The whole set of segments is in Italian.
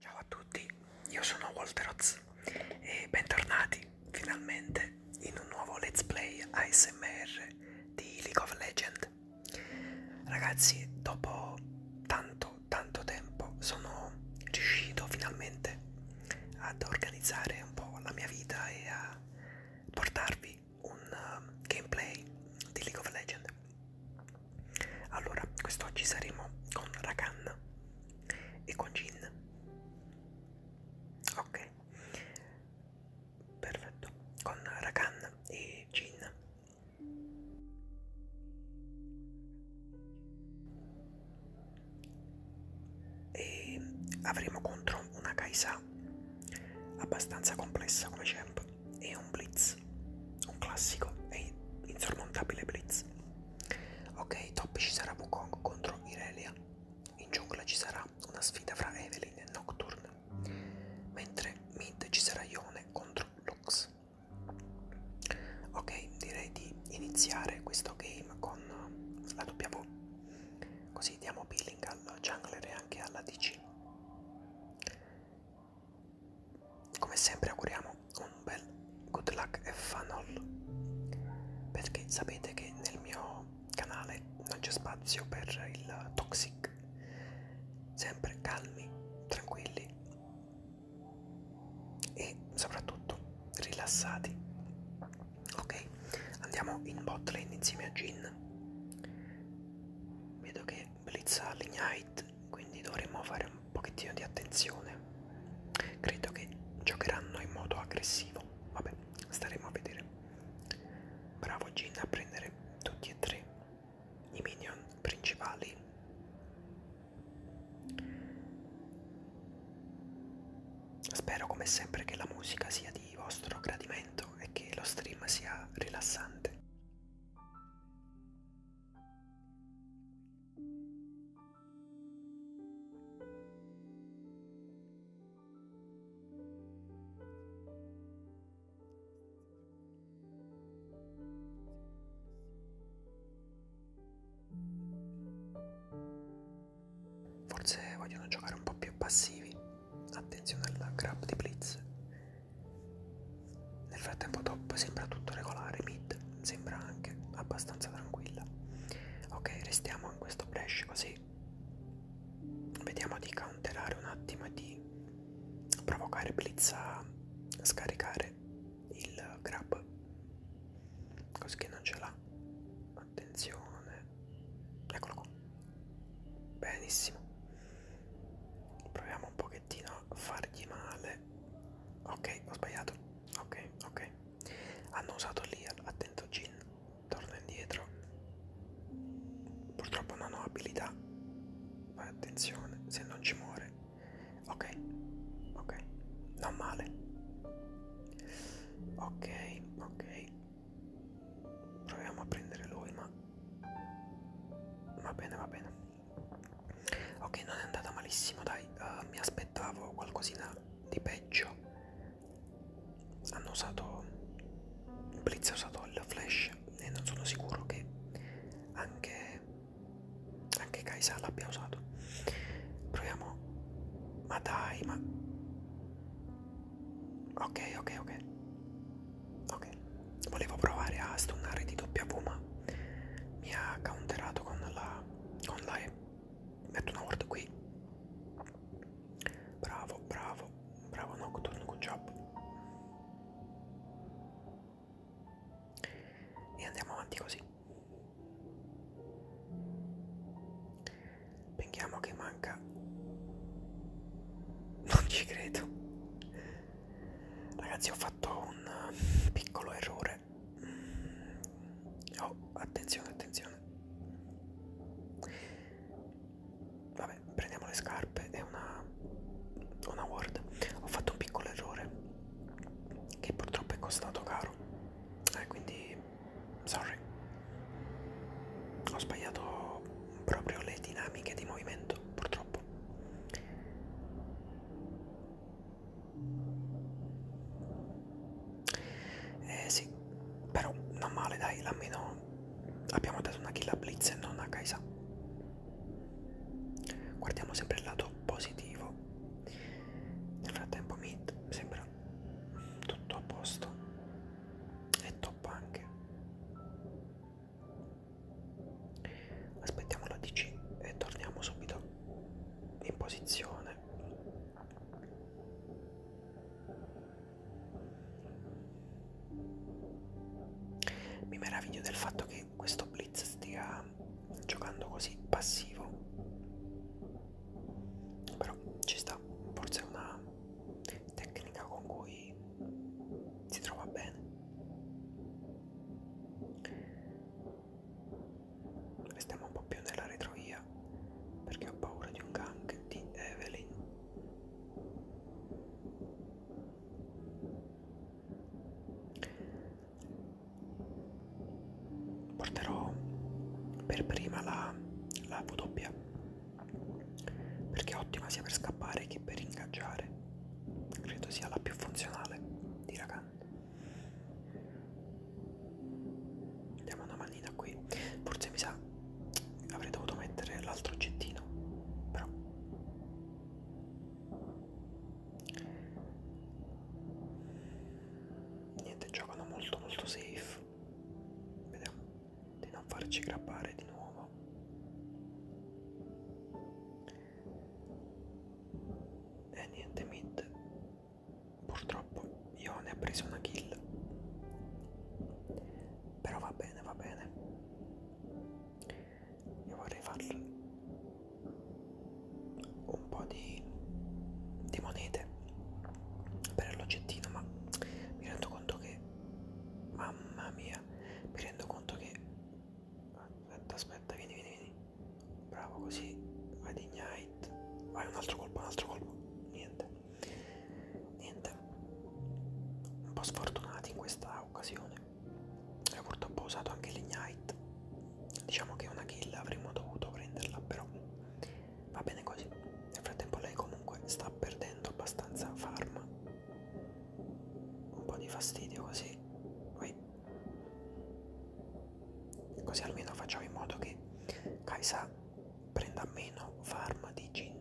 Ciao a tutti, io sono Walteroz e bentornati finalmente in un nuovo let's play ASMR di League of Legends. Ragazzi, dopo tanto tanto tempo sono riuscito finalmente ad organizzare un po' la mia vita e a portarvi voi un uh, gameplay di League of Legends. Allora, quest'oggi saremo con Rakan e con Jin. Ok, perfetto. Con Rakan e Jin. E avremo contro una Kaisa abbastanza complessa come champ e un blitz, un classico e insormontabile blitz. Ok, top ci sarà Wukong contro Irelia, in giungla ci sarà una sfida fra Evelyn e Nocturne, mentre mid ci sarà Ione contro Lux. Ok, direi di iniziare questo game con la W, così diamo peeling al jungler e anche alla DC. Come sempre auguriamo un bel good luck e fun all perché sapete che nel mio canale non c'è spazio per il toxic. Sempre calmi, tranquilli e soprattutto rilassati. Ok, andiamo in bot lane insieme a Jin. Vedo che e blizza l'ignite quindi dovremmo fare un pochettino di attenzione credo che giocheranno in modo aggressivo vabbè staremo a vedere bravo Gin a prendere tutti e tre i minion principali spero come sempre che la musica sia di vostro gradimento e che lo stream sia rilassante Forse vogliono giocare un po' più passivi. Attenzione alla grab di Blitz. Nel frattempo top sembra tutto regolare, mid sembra anche abbastanza tranquilla. Ok, restiamo in questo flash così vediamo di counterare un attimo e di provocare Blitz a scaricare il grab. Così che non ce l'ha. Attenzione. Eccolo qua. Benissimo proviamo un pochettino a fargli male ok ho sbagliato ok ok hanno usato lì attento Jin torna indietro purtroppo non ho abilità fai attenzione se non ci muore ok ok non male ok ok proviamo a prendere lui ma Va bene, va bene. Ok, non è andata malissimo, dai. Uh, mi aspettavo qualcosina di peggio. Hanno usato... Blitz ha usato il flash e non sono sicuro che anche, anche Kaisa l'abbia usato. Proviamo... Ma dai, ma... Ok, ok, ok. Ok, volevo provare a stunnare di W ma mi ha counterato con la, con la E. Metto una ward qui. Bravo, bravo, bravo Nocturne, good job. E andiamo avanti così. Pensiamo che manca... Non ci credo. Ragazzi ho fatto un mm, piccolo errore mm, Oh attenzione attenzione Vabbè prendiamo le scarpe e una, una ward Ho fatto un piccolo errore Che purtroppo è costato caro eh, Quindi sorry Ho sbagliato proprio le dinamiche di movimento purtroppo eh sì, però non male dai, almeno abbiamo dato una kill a Blitz e non a Kaisa. Guardiamo sempre il lato positivo. Nel frattempo Mid sembra tutto a posto e top anche aspettiamo la DC e torniamo subito in posizione mi meraviglio del fatto che questo blitz stia giocando così passivo però ci sta forse è una tecnica con cui cui si trova bene. Restiamo un po' più nella retrovia perché ho paura di un gang di Evelyn. Porterò per prima la, la W perché è ottima sia per scappare che per ingaggiare credo sia la più funzionale di Rakan andiamo una manina qui forse mi sa avrei dovuto mettere l'altro oggettino però niente giocano molto molto safe vediamo di non farci grabbare di nuovo e niente mid. Purtroppo io ne ho preso una kill. Però va bene, va bene. Io vorrei farlo un po' di, di monete per l'oggettino, ma mi rendo conto che... Mamma mia, mi rendo conto che aspetta aspetta vieni vieni vieni bravo così vai di ignite vai un altro colpo un altro colpo niente niente un po' sfortunati in questa occasione e eh, purtroppo ho usato anche l'ignite diciamo che una kill avremmo dovuto prenderla però va bene così nel frattempo lei comunque sta perdendo abbastanza farm un po' di fastidio così Ui. così almeno facciamo in modo che Kaisa prenda meno farm di gin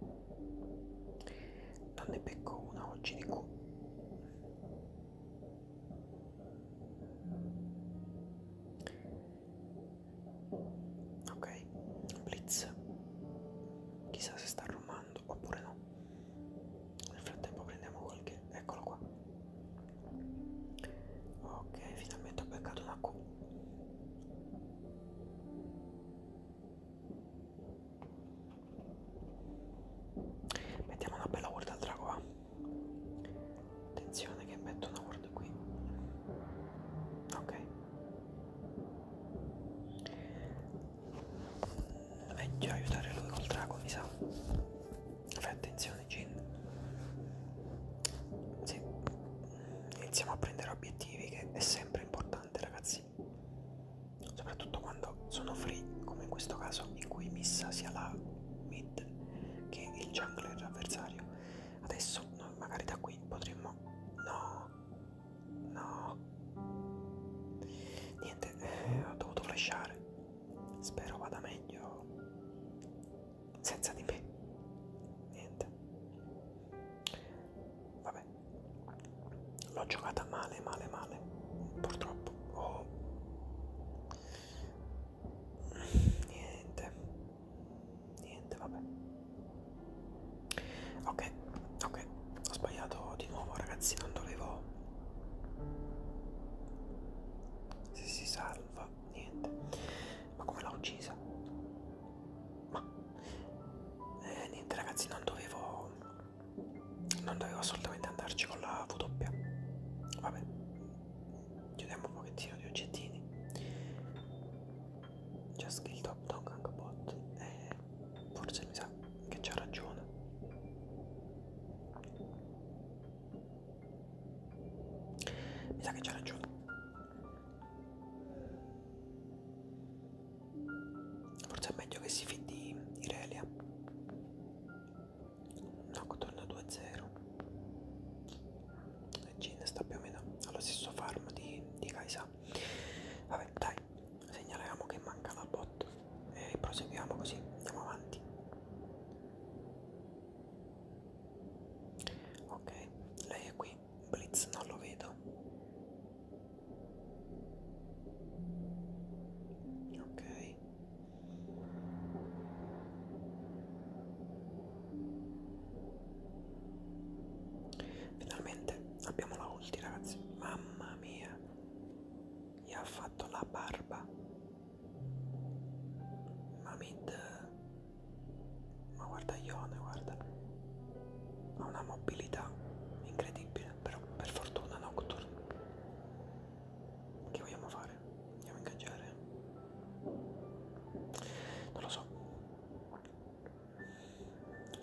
non ne becco una oggi di qua ok blitz chissà se sta arrumando raccomando oppure no nel frattempo prendiamo qualche eccolo qua ok finalmente ho beccato una Q mettiamo una bella ward al drago va eh. attenzione che metto una ward qui ok meglio eh, aiutare lui col drago mi sa fai attenzione Jin sì. iniziamo a prendere obiettivi che è sempre importante ragazzi soprattutto quando sono free come in questo caso in cui missa sia la mid che il jungler avversario adesso noi magari da qui potremmo no No. Niente, eh, ho dovuto flashare. Spero vada meglio senza di me. Niente. Vabbè. L'ho giocata male, male, male. Purtroppo. Oh. Niente. Niente, vabbè ok ok ho sbagliato di nuovo ragazzi non dovevo se si salva niente ma come l'ha uccisa ma eh, niente ragazzi non dovevo non dovevo assolutamente andarci con la W vabbè chiudiamo un pochettino di oggettini già skill top dog anche bot eh, forse mi sa pensa che c'ha ragione. Mi sa che c'ha ragione. Forse è meglio che si fidi Irelia. Nock torna 2-0. Gin sta più o meno allo stesso farm di, di Kaisa. Vabbè, dai, segnaliamo che manca la bot e proseguiamo così, andiamo avanti. Ok, lei è qui, Blitz non lo vedo. Ok. Finalmente abbiamo la ulti ragazzi, mamma mia, gli ha fatto la barba. Mamid, ma guarda Ione, guarda, ha una mobilità incredibile, però per fortuna Nocturne. Che vogliamo fare? Andiamo a ingaggiare? Non lo so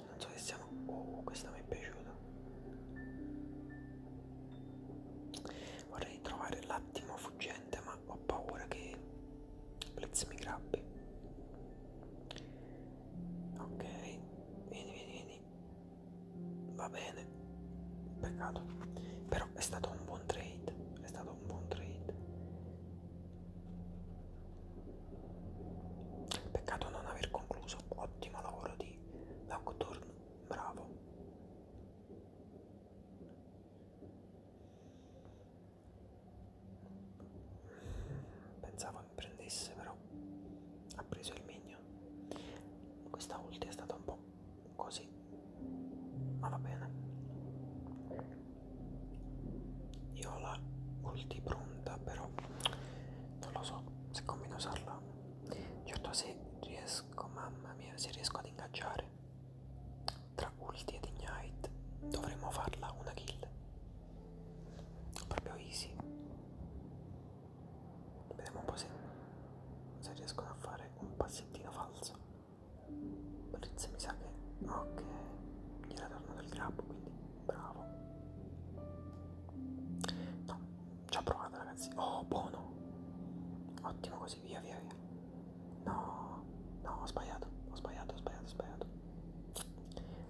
non so che siamo oh questa mi è piaciuta vorrei trovare l'attimo fuggente ma ho paura che Blitz mi grabbi ok vieni vieni vieni va bene peccato però è stato un buon trade è stato un buon trade peccato non aver concluso ottimo lavoro di di Nocturne Bravo. Pensavo mi prendesse però ha preso il migno. Questa ulti è stata un po' così, ma va bene. Io ho la ulti pronta però non lo so se combino usarla fa. Certo se riesco, mamma mia, se riesco ad ingaggiare tra ulti ed ignite dovremmo farla una kill. Proprio easy. Vediamo un po' se, se riescono a fare un passettino falso. Blitz mi sa che... Ok, gliela torno del grappo quindi bravo no ci ho provato ragazzi oh buono ottimo così via via via no no ho sbagliato ho sbagliato ho sbagliato ho sbagliato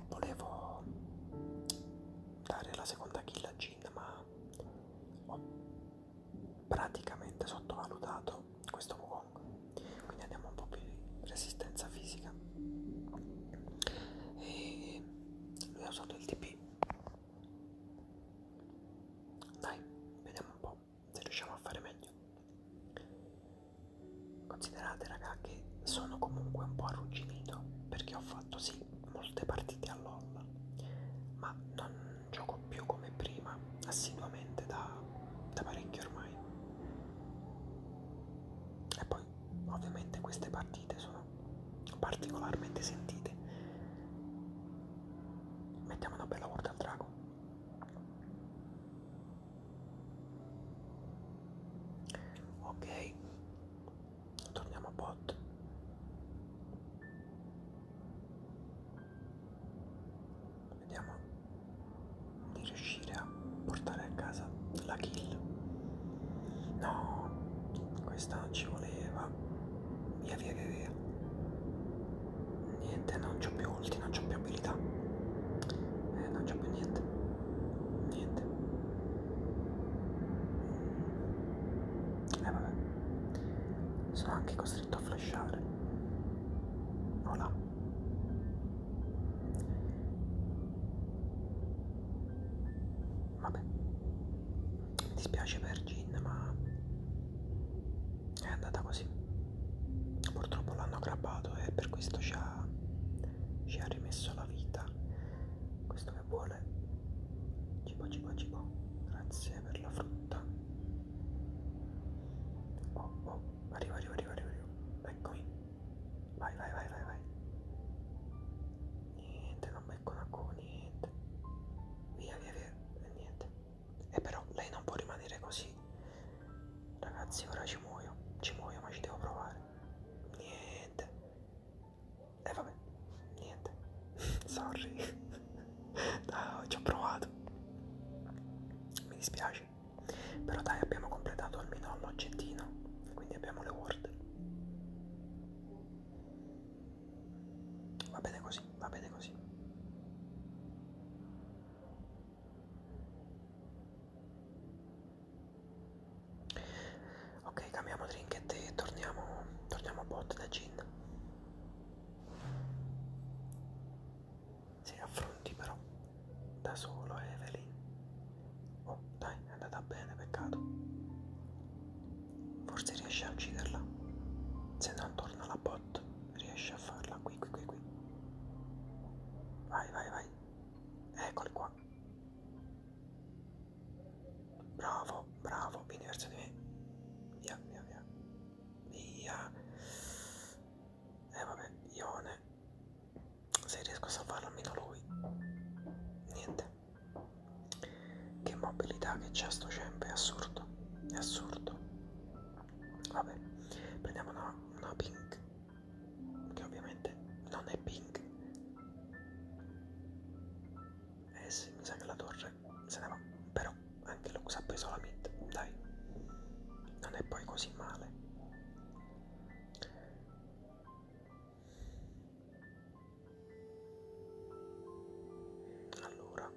volevo dare la seconda kill a Jin ma ho praticamente sottovalutato questo Wukong quindi andiamo un po' più di resistenza fisica e lui ha usato il TP tempi dai vediamo un po' se riusciamo a fare meglio considerate raga che sono comunque un po' arrugginito perché ho fatto sì molte partite all'olla ma non gioco più come prima assiduamente da, da parecchio ormai e poi ovviamente queste partite sono sono particolarmente sentite mettiamo una bella volta al drago ok torniamo a bot vediamo di riuscire a portare a casa la kill No, questa non ci voleva. Via, via, via, via. Niente, non c'ho più ulti, non c'ho più abilità. Eh, non c'ho più niente. Niente. Eh, vabbè. Sono anche costretto a flashare. Voilà. Vabbè. Mi dispiace per Gin, ma è andata così. Purtroppo l'hanno grabbato e per questo ci ha, ci ha rimesso la vita. Questo che vuole. Cibo, cibo, cibo. Grazie per la frutta. Oh, oh, arrivo, arrivo, arrivo, arrivo. Eccomi. Vai, vai, vai, vai, vai niente, non becco da qua, niente. Via, via, via, e niente. E però lei non può rimanere così. Ragazzi, ora ci muoio, ci muoio, ma ci devo provare. Niente. E eh, vabbè, niente. Sorry. no, ci ho provato. Mi dispiace. Però dai, abbiamo completato almeno l'oggettino. Quindi abbiamo le ward. Va bene così, va bene così. Ok, cambiamo trinket e torniamo, torniamo a bot da Gin. Si affronti però da solo Evelyn. Oh dai, dai, è andata bene, peccato. Forse riesce a ucciderla. Se non torna la bot, riesce a farla qui, qui, qui, qui. Vai, vai, vai. Eccoli qua. Bravo, bravo, vieni verso di me. Via, via, via. Via. E eh, vabbè, Ione. Se riesco a salvarlo almeno lui. Niente. Che mobilità che c'è sto cempe, è assurdo, è assurdo. Vabbè, prendiamo una, una pink, che ovviamente non è pink. Eh sì, mi sa che la torre se ne va, però anche Lux ha preso la mid, dai. Non è poi così male. Allora,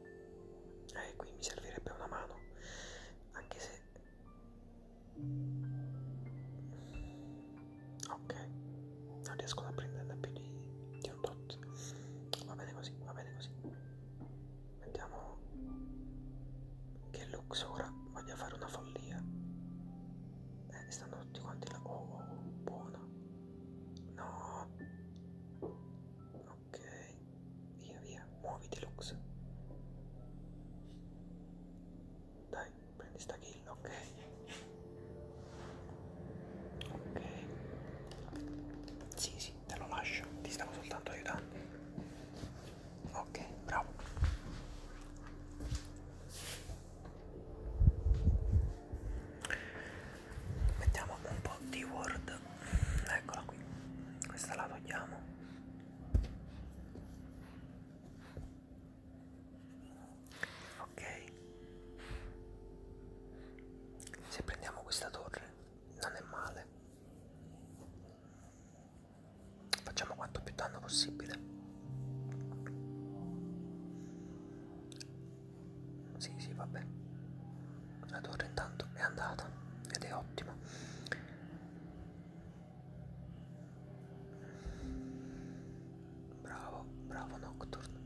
eh, qui mi servirebbe una mano, anche se... Ok, non riesco a prenderne più di, di un tot. Va bene così, va bene così. Vediamo che Lux ora voglia fare una follia. Eh, stanno tutti quanti là. Oh, oh, oh buona. No. Ok. Via, via. Muoviti, Lux. Dai, prendi sta kill, ok. Ok. Sì, sì, te lo lascio. Ti stavo soltanto aiutando. Ok, bravo mettiamo un po' di word eccola qui questa la togliamo ok se prendiamo questa torre non è male facciamo quanto più danno possibile sì, sì, vabbè. La torre intanto è andata ed è ottimo. Bravo, bravo Nocturne.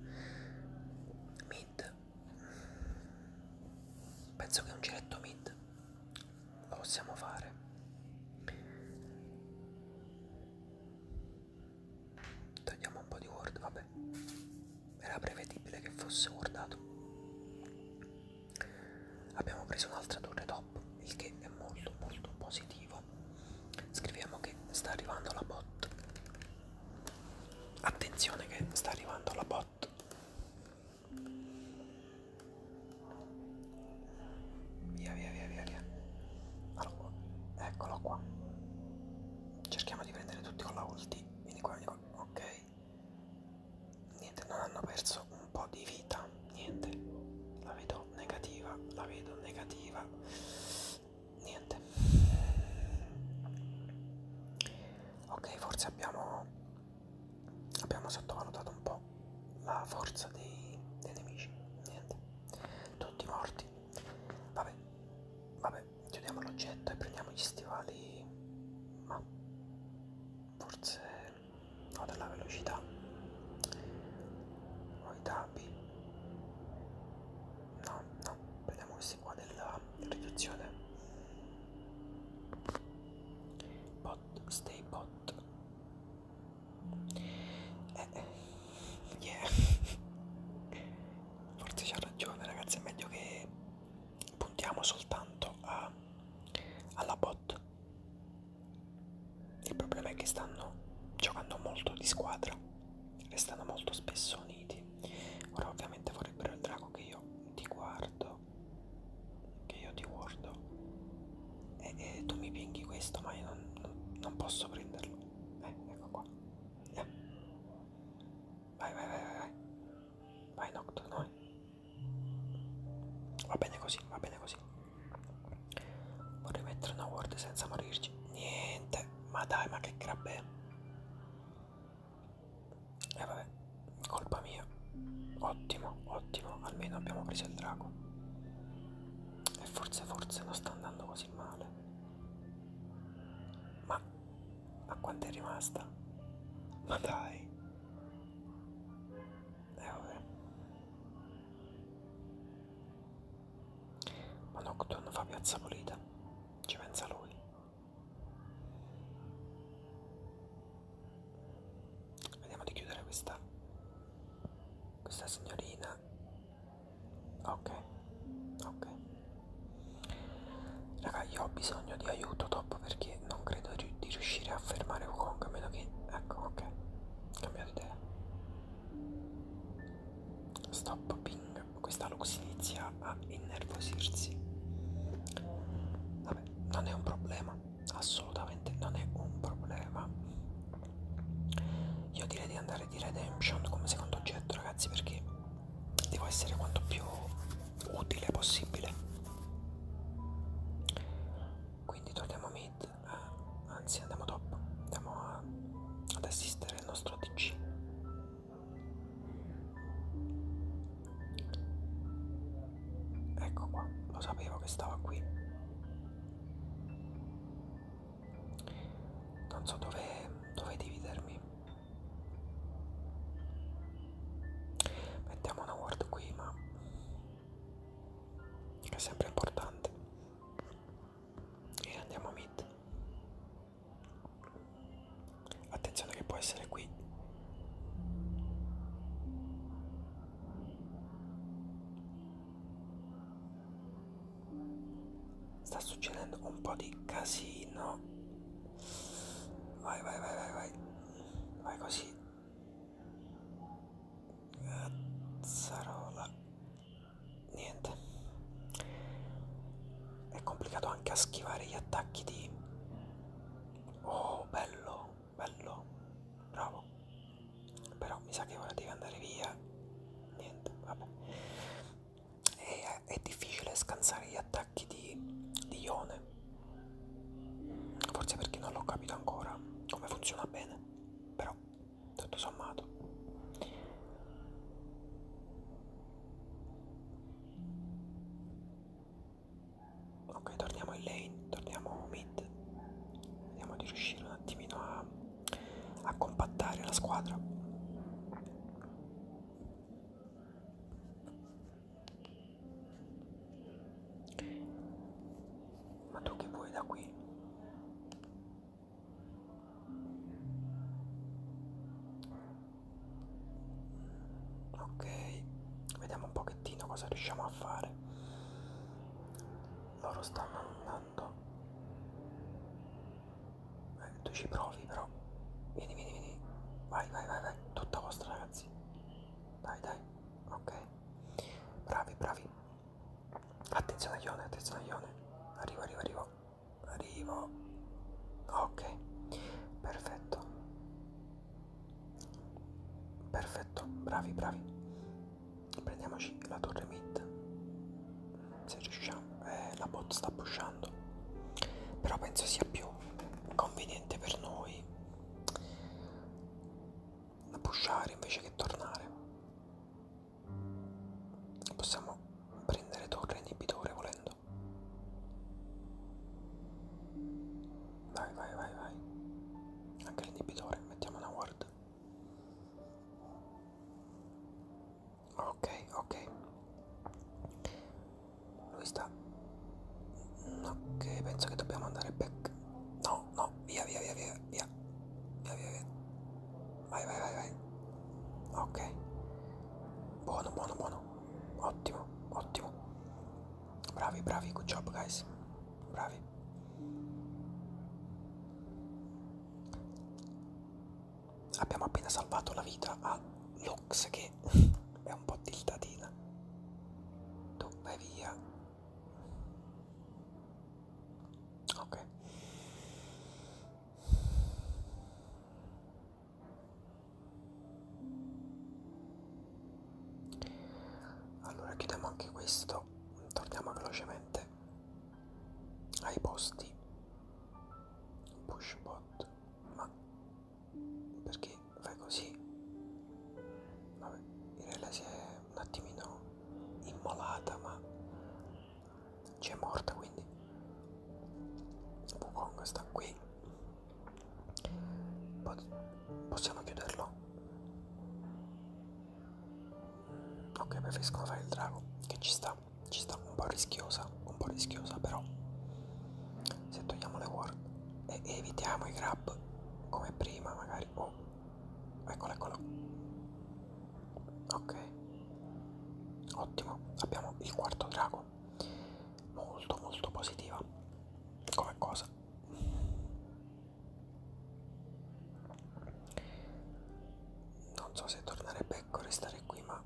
Mid. Penso che un giretto mid lo possiamo fare. Tagliamo un po' di word, vabbè. Era prevedibile che fosse wordato. Abbiamo preso un'altra torre top, il che è molto molto positivo. Scriviamo che sta arrivando la bot. Attenzione che sta arrivando la bot. Via via via via via. Allora, eccolo qua cerchiamo di prendere tutti con la ulti vieni qua, vieni qua, ok niente, non hanno perso un po' di vita niente, la vedo negativa la vedo negativa niente ok, forse abbiamo abbiamo sottovalutato un po' la forza dei, dei nemici niente, tutti morti Vabbè, vabbè, chiudiamo l'oggetto e prendiamo gli stivali, ma forse no della velocità. O i tappi. No, no, prendiamo questi qua della riduzione. Bot, stay bot. Eh, eh yeah forse c'ha ragione ragazzi è meglio che puntiamo soltanto a, alla bot il problema è che stanno giocando molto di squadra restano molto spesso uniti ora ovviamente vorrebbero il drago che io ti guardo che io ti guardo e, e tu mi pinghi questo ma io non, non, non posso prenderlo eh, ecco qua Yeah. Vai, vai, vai, vai, vai. Vai, Nocturne, vai. Va bene così, va bene così. Vorrei mettere una ward senza morirci. Niente. Ma dai, ma che crabbe. E eh, vabbè, colpa mia. Ottimo, ottimo. Almeno abbiamo preso il drago. E forse, forse non sta andando così male. Ma a quanto è rimasta? Ma dai. E eh, vabbè. Ma no, quando fa piazza pulita, ci pensa lui. Vediamo di chiudere questa questa signorina vita ok ok raga io ho bisogno di aiuto dopo perché non credo di riuscire a fermare Wukong a meno che ecco ok cambiato idea stop ping questa lux inizia a innervosirsi vabbè non è un problema assolutamente non è un problema io direi di andare di redemption come secondo oggetto ragazzi perché devo essere quanto più utile possibile quindi torniamo a mid eh, anzi andiamo top andiamo a, ad assistere il nostro dc ecco qua lo sapevo che stava qui non so dove, dove dividermi mettiamo una word qui ma è sempre importante e andiamo a mid attenzione che può essere qui Sta succedendo un po' di casino. Vai, vai, vai, vai, vai. Vai così. Cazzarola. Niente. È complicato anche a schivare gli attacchi di... Oh, bello, bello. Bravo. Però mi sa che ora devi andare via. Niente, vabbè e è difficile scansare gli attacchi di, di ione forse perché non l'ho capito ancora come funziona bene però tutto sommato ok torniamo in lane torniamo mid vediamo di riuscire un attimino a, a compattare la squadra ma tu che vuoi da qui? Ok, vediamo un pochettino cosa riusciamo a fare. Loro stanno andando eh, tu ci provi però vieni vieni vieni vai vai vai vai tutta vostra ragazzi dai dai ok bravi bravi attenzione Ione attenzione Ione arrivo arrivo arrivo arrivo ok perfetto perfetto bravi bravi prendiamoci la torre mid se riusciamo eh, la bot sta pushando però penso sia più conveniente per noi pushare invece che tornare possiamo prendere torre inibitore volendo vai vai vai vai anche l'inibitore mettiamo una ward ok ok lui sta ok penso che dobbiamo andare back no no via via via via via via via via vai vai vai vai ok buono buono buono ottimo ottimo bravi bravi good job guys bravi abbiamo appena salvato la vita a Lux che è un po' tiltatina. Tu vai via. Ok. Allora chiudiamo anche questo, torniamo velocemente ai posti. Pushbot ma perché fai così? Vabbè, direi lei si è un attimino immolata, ma c'è morta quindi. Wukong sta qui. Po possiamo chiuderlo? Ok, preferisco fare il drago che ci sta rischiosa, ci sta un po' rischiosa, un po' rischiosa però se togliamo le ward e evitiamo i grab come prima magari, oh, eccolo eccolo, ok, ottimo, abbiamo il quarto drago, molto molto positiva come cosa. Non so se tornare becco o restare qui, ma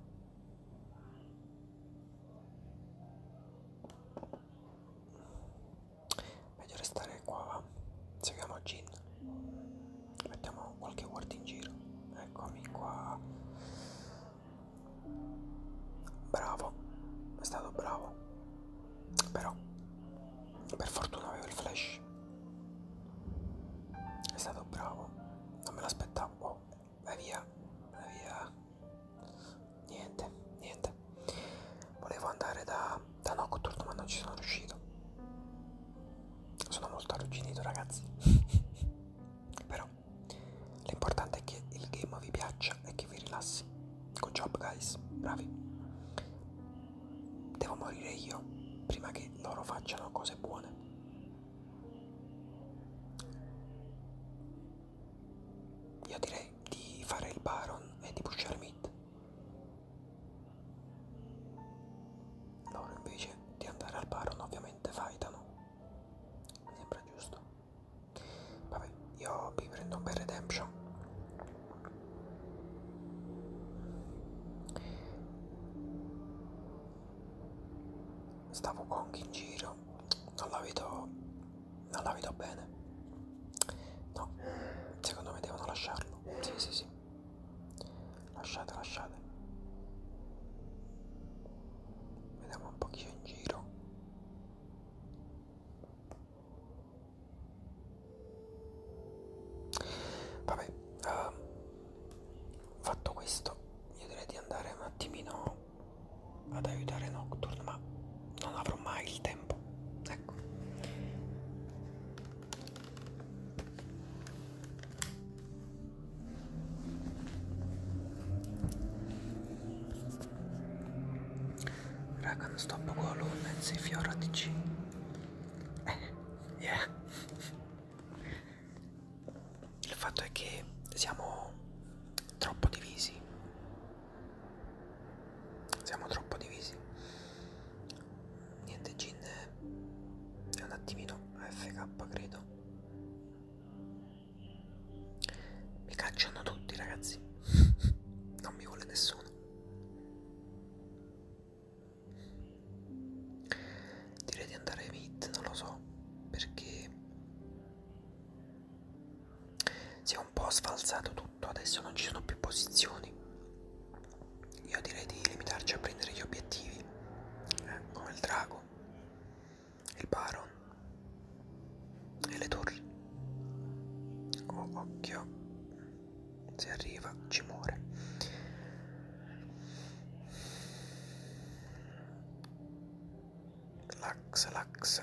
Meglio restare qua, va. Seguiamo Jin. Mettiamo qualche word in giro. Eccomi qua. Bravo, è stato bravo. Però, per fortuna avevo il flash. È stato bravo. Non me l'aspettavo. Oh, vai via vai via niente niente volevo andare da, da Nocturne ma non ci sono riuscito sono molto arrugginito ragazzi però l'importante è che il game vi piaccia e che vi rilassi good job guys bravi devo morire io prima che loro facciano cose buone io direi di fare il Baron e di pushare mid. Loro invece di andare al Baron ovviamente fightano. Mi sembra giusto. Vabbè, io mi prendo un bel redemption stavo con chi in giro non la vedo non la vedo bene no secondo me devono lasciarlo sì sì sì lasciate lasciate vediamo un po' chi c'è in giro vabbè uh, fatto questo io direi di andare un attimino ad aiutare Nocturne ma non avrò mai il tempo ecco raga non sto poco a luna in sei fiora di eh yeah il fatto è che siamo troppo divisi siamo troppo divisi niente gin è un attimino fk credo mi cacciano tutti ragazzi non mi vuole nessuno direi di andare mid non lo so perché si è un po' sfalsato tutto adesso non ci sono più posizioni io direi di limitarci a prendere gli obiettivi eh, come il drago il baron e le torri oh, occhio se arriva ci muore lax lax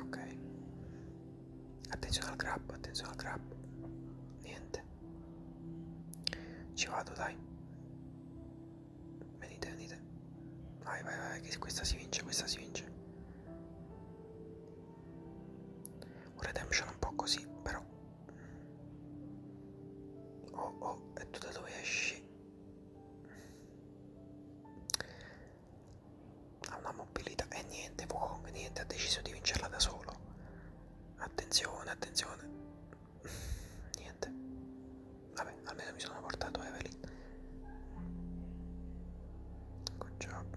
ok attenzione al grab attenzione al grab niente ci vado dai venite venite vai vai vai che questa si vince questa si vince un redemption un po' così però oh oh e tu da dove esci ha una mobilità e niente Wukong niente ha deciso di vincerla da solo attenzione attenzione niente vabbè almeno mi sono portato Evelyn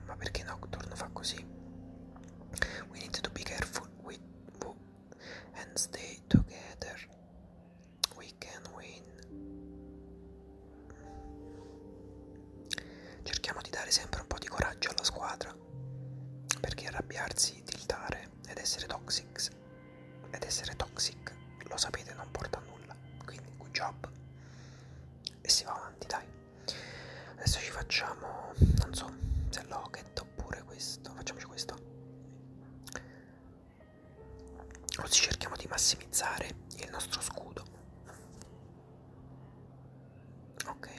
ma perché Nocturne fa così we need to be careful with and stay together We can win. Cerchiamo di dare sempre un po' di coraggio alla squadra. Perché arrabbiarsi, tiltare ed essere toxic. Ed essere toxic, lo sapete, non porta a nulla. Quindi good job. E si va avanti, dai. Adesso ci facciamo, non so, se Locket oppure questo. Facciamoci questo. Oggi cerchiamo di massimizzare il nostro scudo. Ok.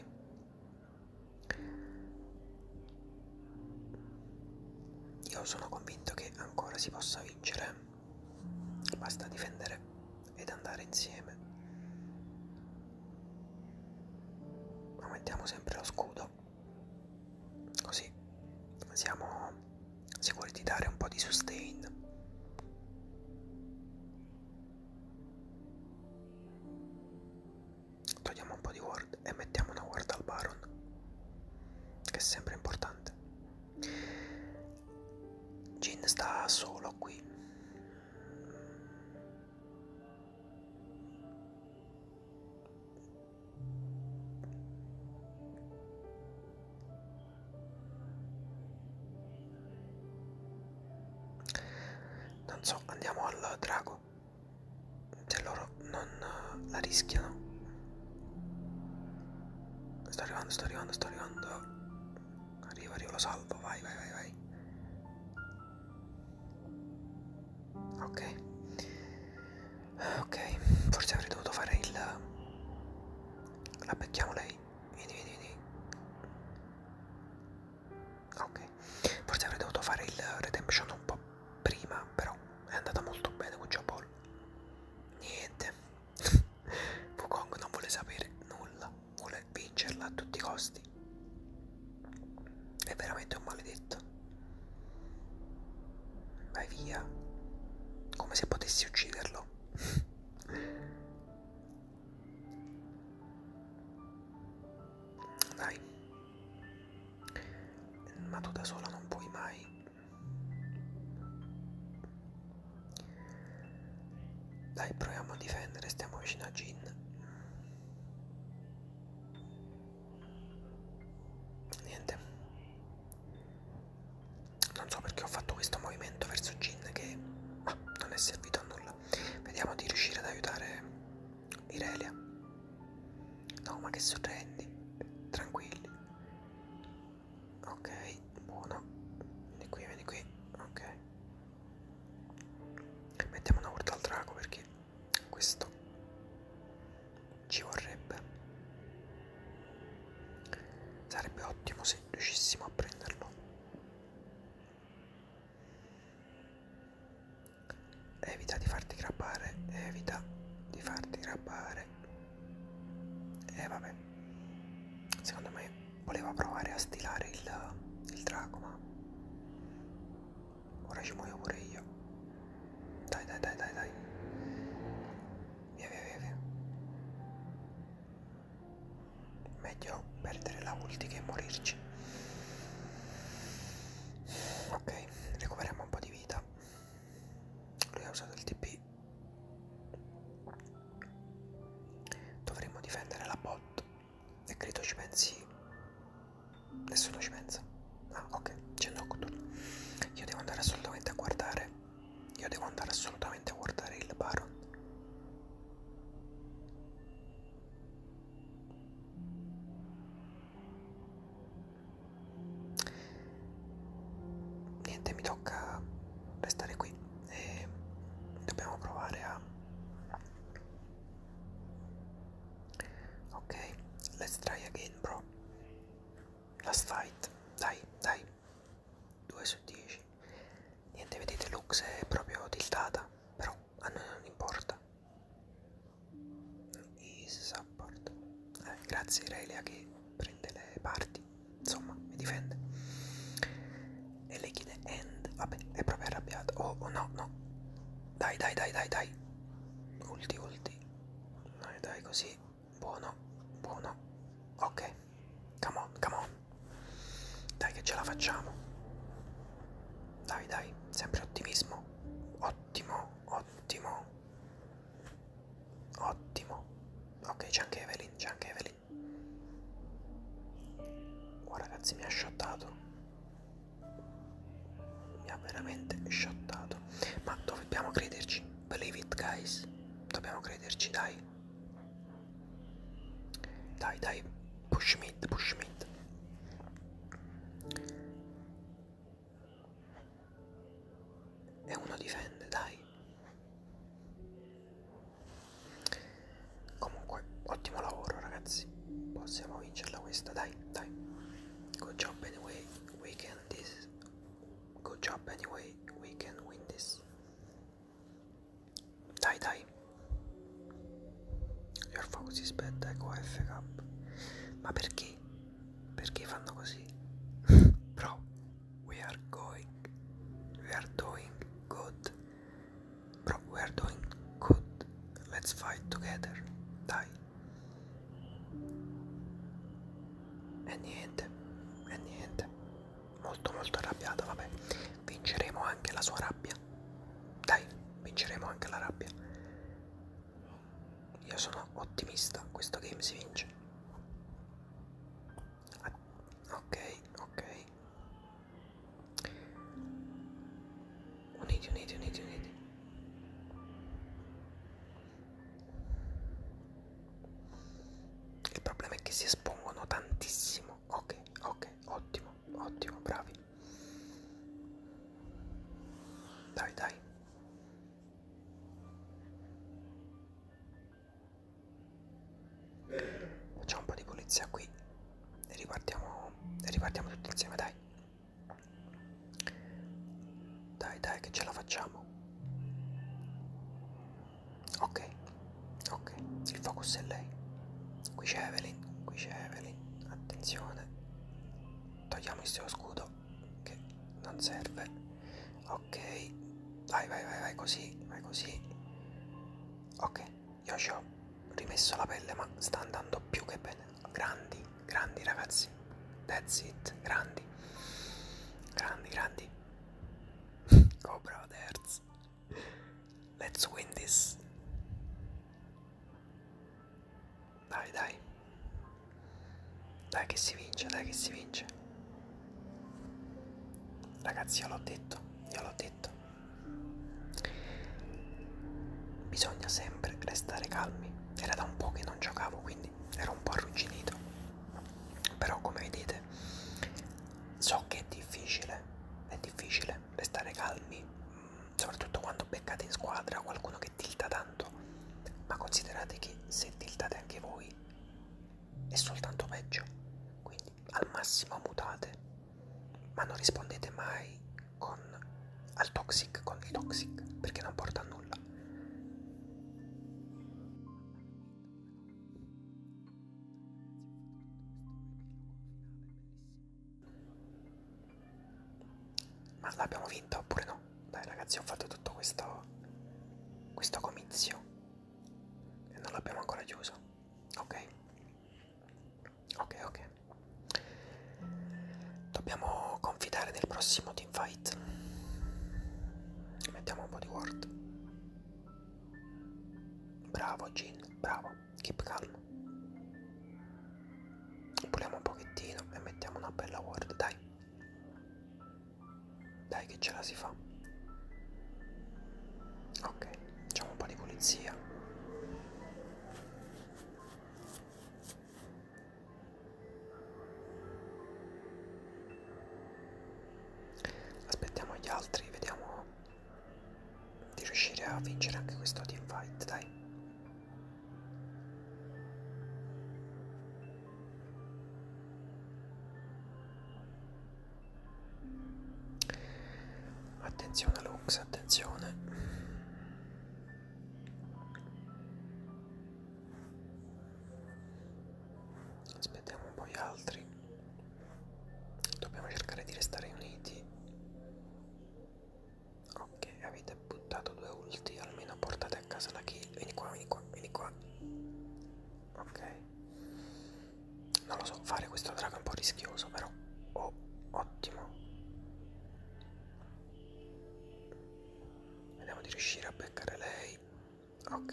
Io sono convinto che ancora si possa vincere. Basta difendere ed andare insieme. Aumentiamo sempre lo scudo video così siamo sicuri di dare un po' di sustain togliamo un po' di ward e mettiamo una ward al baron che è sempre importante Jin sta solo qui non so, andiamo al drago. Se cioè, loro non eh, la rischiano. Sto arrivando, sto arrivando, sto arrivando. Arrivo, arrivo, lo salvo. Vai, vai, vai, vai. Ok. Ok, forse avrei dovuto fare il... La becchiamo lei. Vieni, vieni, vieni. Ok, forse avrei dovuto fare il redemption un po' prima, però è andata molto bene con Joe Paul. Niente. Wukong non vuole sapere nulla, vuole vincerla a tutti i costi. È veramente un maledetto. Vai via, come se potessi ucciderlo. Dai, ma tu da sola non puoi mai. Dai, proviamo a difendere, stiamo vicino a Gin niente non so perché ho fatto questo movimento verso Jin che ah, non è servito a nulla vediamo di riuscire ad aiutare Irelia no ma che sorrendi tranquilli ok buono vieni qui vieni qui ok mettiamo una urta al drago perché questo ci vorrebbe sarebbe ottimo se riuscissimo a prenderlo evita di farti grabbare evita di farti grabbare e eh, vabbè secondo me voleva provare a stilare il, il drago ma ora ci muoio pure io dai, dai, dai, dai, dai. Via, via, via, via. Meglio perdere la ulti che morirci. Ok, recuperiamo un po' di vita. Lui ha usato il TP. Dovremmo difendere la bot. E credo ci pensi. Nessuno ci pensa. Ah, ok, c'è Nocturne. Io devo andare assolutamente a guardare. Io devo andare assolutamente a guardare il Baron. Niente, mi tocca restare qui e dobbiamo provare a... Ok, let's try again, bro. Last fight, dai, dai. 2 su 10. Niente, vedete, Lux è proprio tiltata, però a noi non importa. Is support. Eh, grazie Irelia che prende le parti, insomma, mi difende. E lei chiede end, vabbè, è proprio arrabbiata. Oh, oh no, no. Dai, dai, dai, dai, dai. Ulti, ulti. Dai, dai, così buono, buono, ok, come on, come on, dai che ce la facciamo, dai dai, sempre ottimismo, ottimo, ottimo, ottimo, ok c'è anche Evelyn, c'è anche Evelyn, guarda ragazzi mi ha shottato mi ha veramente shottato ma dobbiamo crederci Believe it guys, dobbiamo crederci, dai. Dai, dai, push mid, push mid. E uno difende, dai. Comunque, ottimo lavoro ragazzi. Possiamo vincerla questa, dai, dai. Good job anyway. We can this Good job anyway, we can win this. Die die. Your focus is bad, ecco F cup. Ma perché? Perché fanno così? Bro, we are going. We are doing good. Bro, we are doing good. Let's fight together. Die. E niente, e niente. Molto molto arrabbiata, vabbè. Vinceremo anche la sua rabbia. Dai, vinceremo anche la rabbia. Io sono ottimista, questo game si vince. Ah, ok, ok. Uniti, uniti, uniti, uniti. Il problema è che si espongono tantissimo. Ok, ok, ottimo, ottimo, bravi. Dai, dai. Facciamo un po' di pulizia qui e ripartiamo, ripartiamo tutti insieme, dai. Dai, dai, che ce la facciamo. Ok, ok, il focus è lei. Qui c'è Evelyn, qui c'è Evelyn. Attenzione. Togliamo il suo scudo che non serve. Ok, vai, vai, vai, vai così, vai così. Ok, io ci ho rimesso la pelle ma sta andando più che bene. Grandi, grandi ragazzi. That's it, grandi, grandi, grandi. Go brothers, let's win this. Dai, dai, dai che si vince, dai che si vince. Ragazzi, io l'ho detto, io l'ho detto. Bisogna sempre restare calmi. Era da un po' che non giocavo, quindi ero un po' arrugginito però come vedete so che è difficile è difficile restare calmi mm, soprattutto quando beccate in squadra qualcuno che tilta tanto ma considerate che se tiltate anche voi è soltanto peggio quindi al massimo mutate ma non rispondete mai con, al toxic con il toxic perché non porta a nulla ma l'abbiamo vinta oppure no? Dai ragazzi ho fatto tutto questo, questo comizio e non l'abbiamo ancora chiuso. Ok? Ok, ok. Dobbiamo confidare nel prossimo team fight mettiamo un po' di ward bravo Jin bravo keep calm puliamo un pochettino e mettiamo una bella ward dai dai che ce la si fa ok facciamo un po' di pulizia Aspettiamo gli altri, vediamo di riuscire a vincere anche questo team fight, dai. Attenzione Lux, attenzione aspettiamo un po' gli altri dobbiamo cercare di restare uniti ok avete buttato due ulti almeno portate a casa la kill vieni qua vieni qua vieni qua ok non lo so fare questo drago è un po' rischioso però oh ottimo vediamo di riuscire a beccare lei Ok.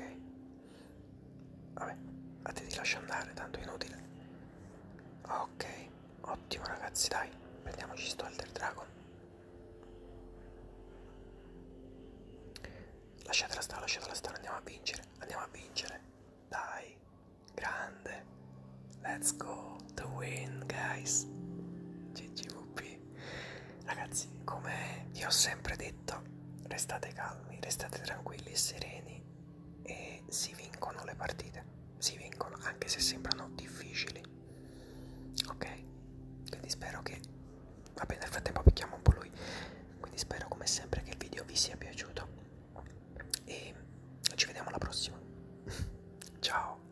Vabbè, a te ti lascio andare, tanto è inutile. Ok, ottimo ragazzi, dai. Prendiamoci sto Elder Dragon. Lasciatela stare, lasciatela stare, andiamo a vincere, andiamo a vincere. Dai, grande. Let's go to win, guys. GGVP quindi ragazzi come vi ho sempre detto restate calmi restate tranquilli sereni e si vincono le partite si vincono anche se sembrano difficili ok quindi spero che va bene nel frattempo picchiamo un po' lui quindi spero come sempre che il video vi sia piaciuto e ci vediamo alla prossima ciao